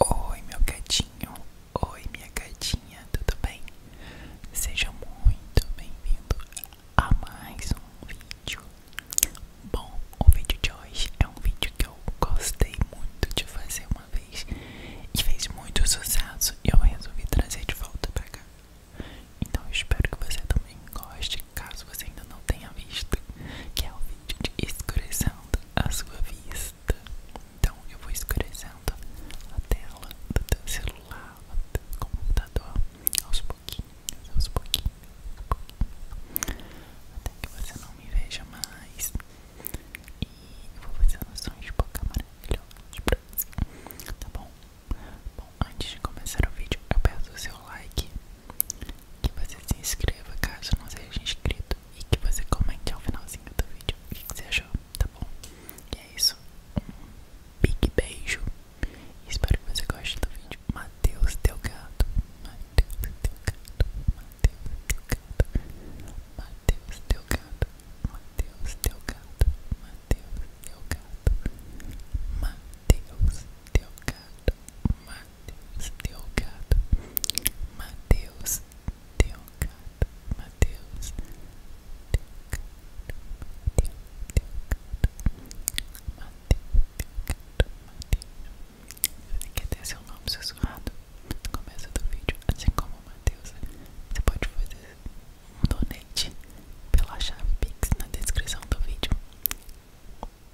Oi, meu gatinho. Oi, minha gatinha. Tudo bem? Seja muito bem-vindo a mais um vídeo. Bom, o vídeo de hoje é um vídeo que eu gostei muito de fazer uma vez e fez muito sucesso e eu resolvi trazer de volta pra cá. Então espero que você também goste, caso você ainda não tenha visto, que é o vídeo de escurecendo a sua vista. Então eu vou escurecendo a tela do teu celular, do computador, aos pouquinhos, aos pouquinhos, aos pouquinhos, até que você não me veja mais. E vou fazendo sons de boca maravilhosos você, tá bom? Bom, antes de começar o vídeo, eu peço o seu like que você se inscreva caso não seja inscrito e que você comente ao finalzinho do vídeo o que você achou, tá bom? E é isso, um big beijo espero que você goste do vídeo. Matheus Delgado, Matheus Delgado, Mateus Delgado, Matheus Delgado, Matheus Delgado, Mateus Delgado, Matheus Delgado, Matheus Delgado. Mateus Delgado, Mateus Delgado, Mateus Delgado, Mateus Delgado, Mateus Delgado, quer ter seu nome sussurrado no começo do vídeo, assim como o Mateus, você pode fazer um donate pela chave Pix na descrição do vídeo.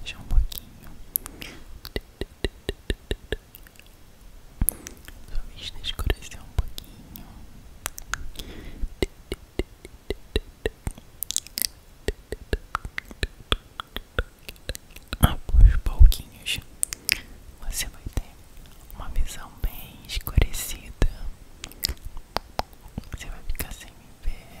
Deixa um pouquinho. Sua vista escureceu um pouquinho aos pouquinhos você vai ter uma visão bem escurecida. Você vai ficar sem me ver.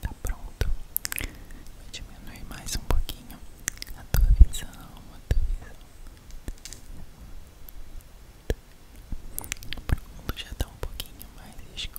Tá pronto. Vou diminuir mais um pouquinho a tua visão, a tua visão. O mundo já tá um pouquinho mais escuro.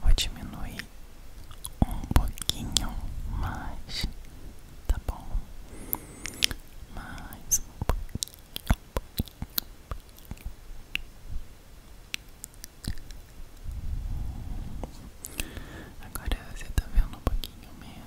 Vou diminuir um pouquinho mais, tá bom? Mais um pouquinho. Agora você está vendo um pouquinho menos.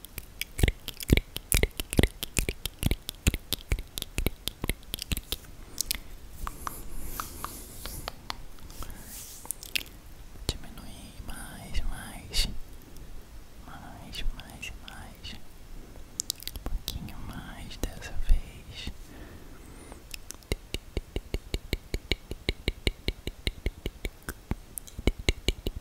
diminui mais, mais, mais, mais, mais, um pouquinho mais dessa vez.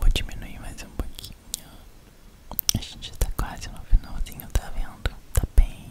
Vou diminuir mais um pouquinho. A gente já tá quase no finalzinho, tá vendo? Tá bem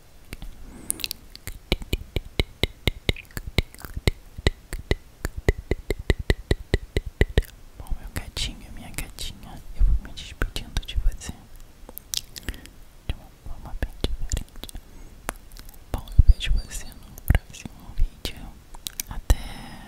Bom, meu gatinho, minha gatinha, eu vou me despedindo de você de uma forma bem diferente. Bom, eu vejo você no próximo vídeo. Até.